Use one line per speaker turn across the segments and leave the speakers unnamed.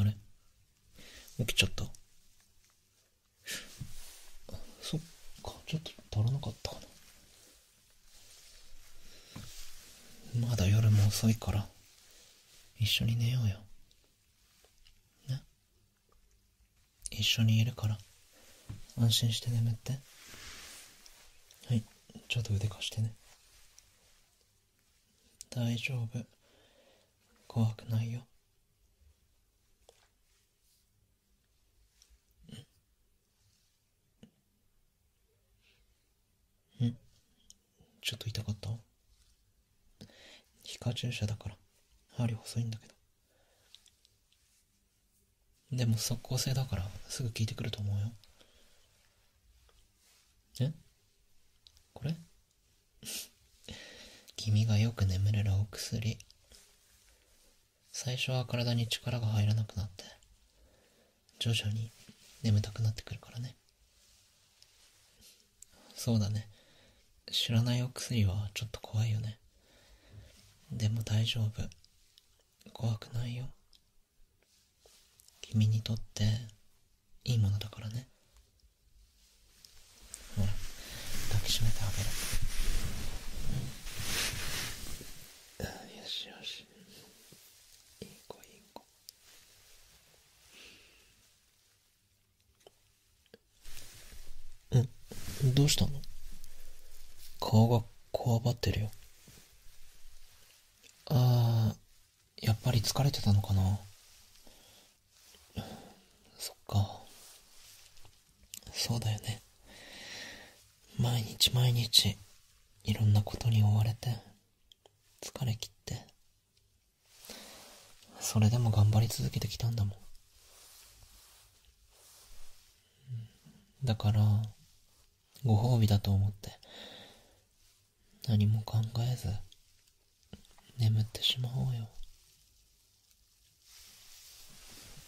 あれ起きちゃった。そっか、ちょっと足らなかったかな。まだ夜も遅いから、一緒に寝ようよ。ね一緒にいるから安心して眠ってはいちょっと腕貸してね大丈夫怖くないよんちょっと痛かった皮下注射だから針細いんだけどでも即効性だからすぐ聞いてくると思うよ。えこれ 君がよく眠れるお薬。最初は体に力が入らなくなって、徐々に眠たくなってくるからね。そうだね。知らないお薬はちょっと怖いよね。でも大丈夫。怖くないよ。君にとっていいものだからね。ほら、抱きしめてあげる。よしよし。いい子いい子。んどうしたの顔がこわばってるよあーやっぱり疲れてたのかなそっかそうだよね毎日毎日いろんなことに追われて疲れ切ってそれでも頑張り続けてきたんだもん。だから、ご褒美だと思って、何も考えず、眠ってしまおうよ。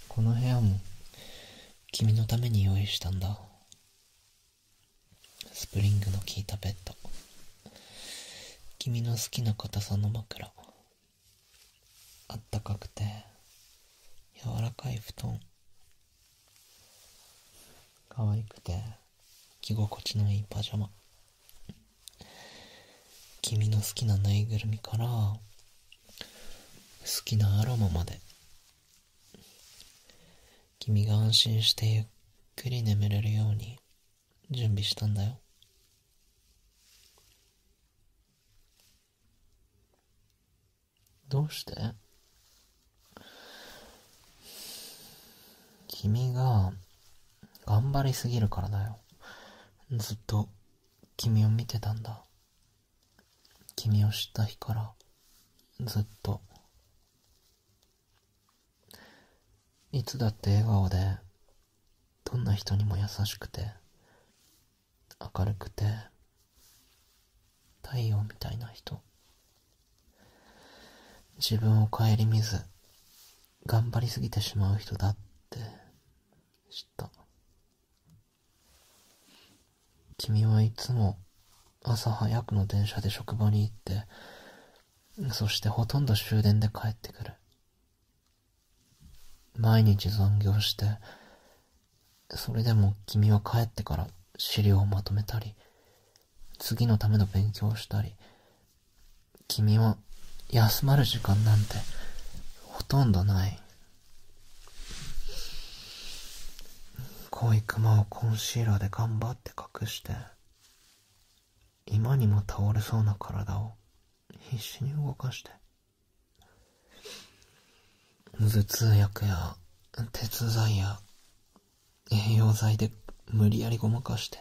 この部屋も、君のために用意したんだ。スプリングの効いたベッド。君の好きな硬さの枕あったかくて柔らかい布団可愛くて着心地のいいパジャマ君の好きなぬいぐるみから好きなアロマまで君が安心してゆっくり眠れるように準備したんだよ。どうして君が頑張りすぎるからだよ。ずっと君を見てたんだ。君を知った日からずっと。いつだって笑顔で、どんな人にも優しくて、明るくて、太陽みたいな人。自分を顧みず、頑張りすぎてしまう人だって知った。君はいつも朝早くの電車で職場に行って、そしてほとんど終電で帰ってくる。毎日残業して、それでも君は帰ってから資料をまとめたり、次のための勉強をしたり、君は休まる時間なんてほとんどない。濃いクマをコンシーラーで頑張って隠して、今にも倒れそうな体を必死に動かして、頭痛薬や鉄剤や栄養剤で無理やりごまかして、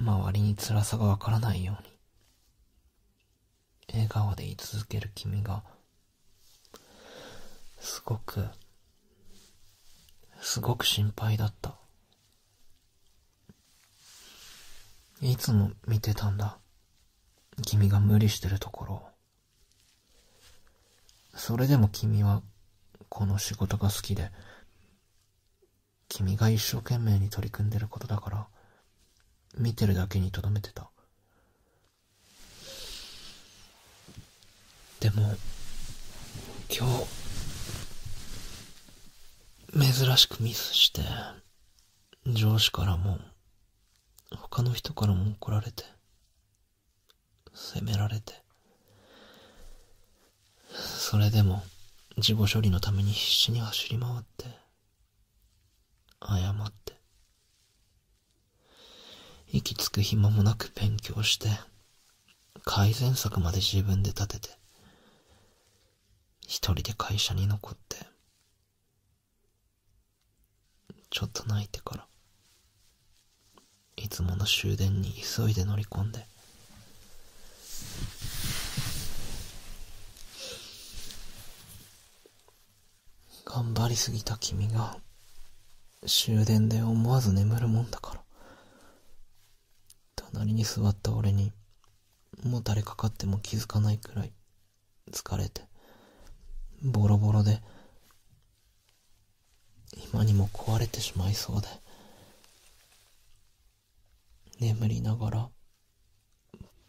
周りに辛さがわからないように、笑顔で居続ける君が、すごくすごく心配だった。いつも見てたんだ。君が無理してるところそれでも君はこの仕事が好きで、君が一生懸命に取り組んでることだから、見てるだけにとどめてた。でも、今日、珍しくミスして、上司からも、他の人からも怒られて、責められて、それでも、事後処理のために必死に走り回って、謝って、息つく暇もなく勉強して、改善策まで自分で立てて、一人で会社に残って、ちょっと泣いてから、いつもの終電に急いで乗り込んで、頑張りすぎた君が、終電で思わず眠るもんだから。隣に座った俺に、もたれかかっても気づかないくらい、疲れて、ボロボロで、今にも壊れてしまいそうで、眠りながら、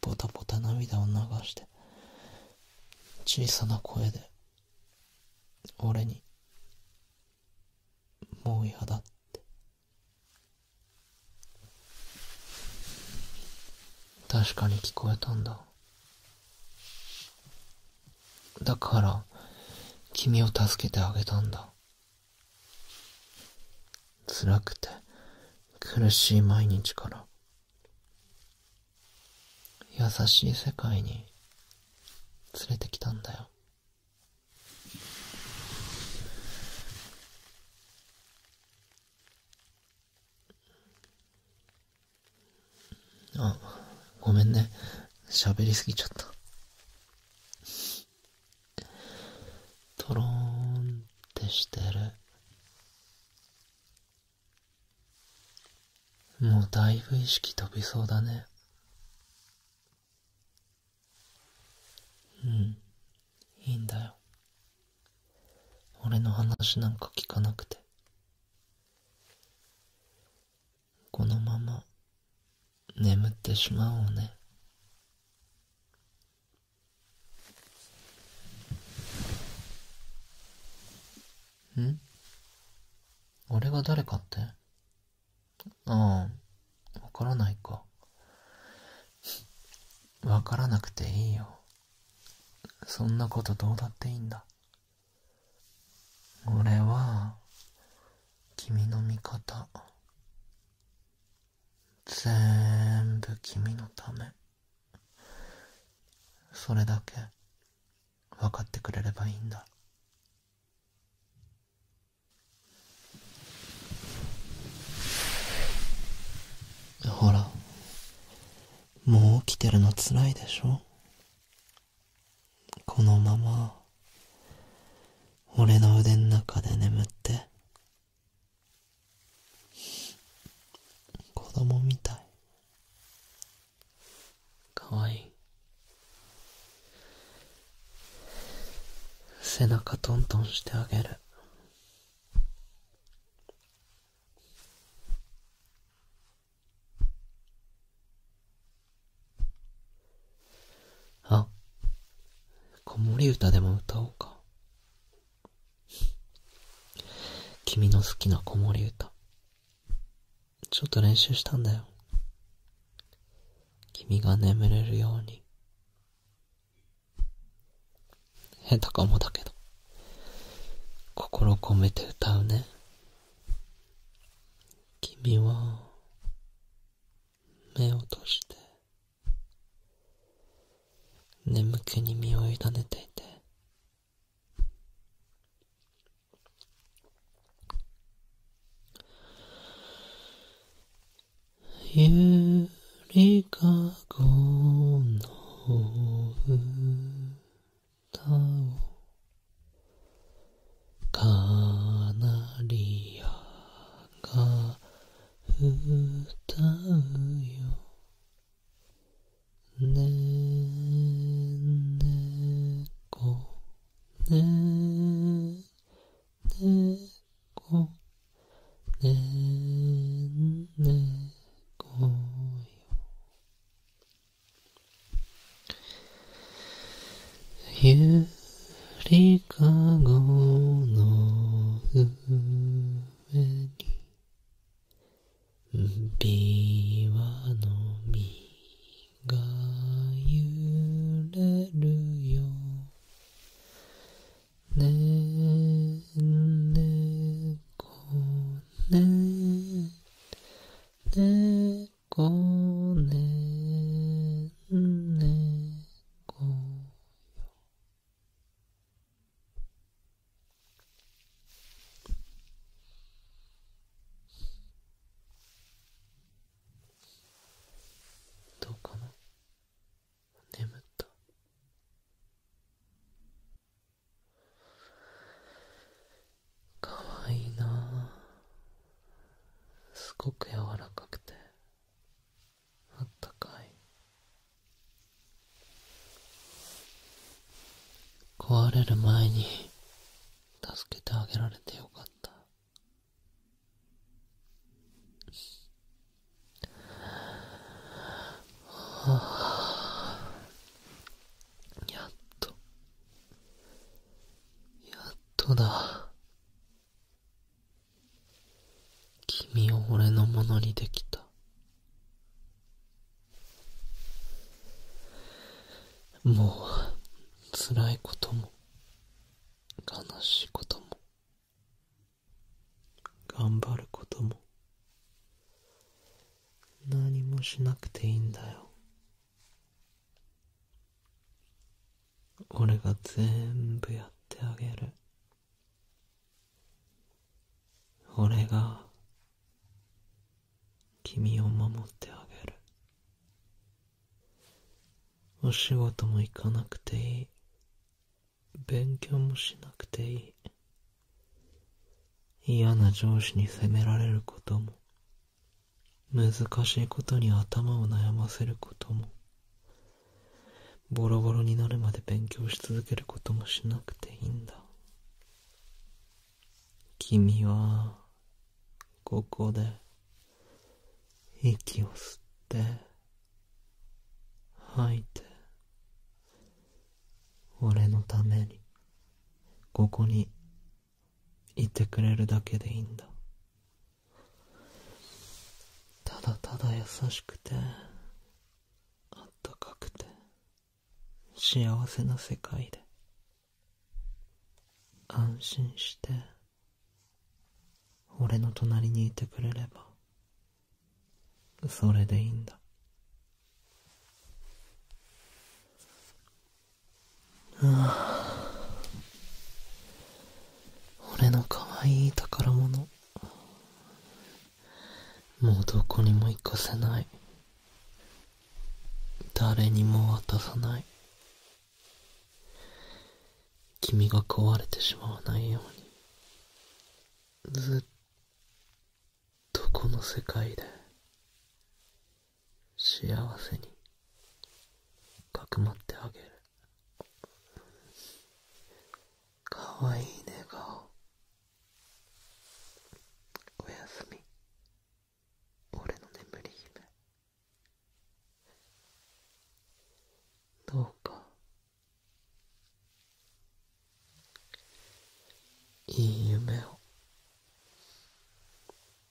ポタポタ涙を流して、小さな声で俺にもう嫌だって確かに聞こえたんだだから君を助けてあげたんだ辛くて苦しい毎日から優しい世界に連れてきたんだよあごめんね喋りすぎちゃったとろーんってしてるもうだいぶ意識飛びそうだね。うん、いいんだよ。俺の話なんか聞かなくて。このまま眠ってしまおうね。ん俺が誰かってああ、分からないか。分からなくていいよ。そんなことどうだっていいんだ。俺は、君の味方。ぜーんぶ君のため。それだけ分かってくれればいいんだほらもう起きてるのつらいでしょこのまま俺の腕の中で眠って子供みたいかわいい背中トントンしてあげるあ子守歌でも歌おうか君の好きな子守歌。ちょっと練習したんだよ。君が眠れるように。下手かもだけど。心込めて歌うね。君は、目を閉じて。眠気に身を委ねていてゆりかごの歌をかなりやがたうよねねこねねこねねこよゆりかごの上上に琵琶の実が揺れるよねんねこねんねこねんねこよどうかな眠ったかわいいなすごく柔らかくてあったかい壊れる前に助けてあげられてよかったはあ。やっとやっとだ君を俺のものにできたもうつらいことも悲しいことも頑張ることも何もしなくていいんだよ俺が全部やってあげる俺が君を守ってあげるお仕事も行かなくていい勉強もしなくていい嫌な上司に責められることも難しいことに頭を悩ませることもボロボロになるまで勉強し続けることもしなくていいんだ君はここで息を吸って吐いて俺のためにここにいてくれるだけでいいんだただただ優しくてあったかくて幸せな世界で安心して俺の隣にいてくれればそれでいいんだ俺の可愛い宝物もうどこにも行かせない誰にも渡さない君が壊れてしまわないようにずっとこの世界で幸せにかくまってあげるかわいい寝顔おやすみ俺の眠り姫どうかいい夢を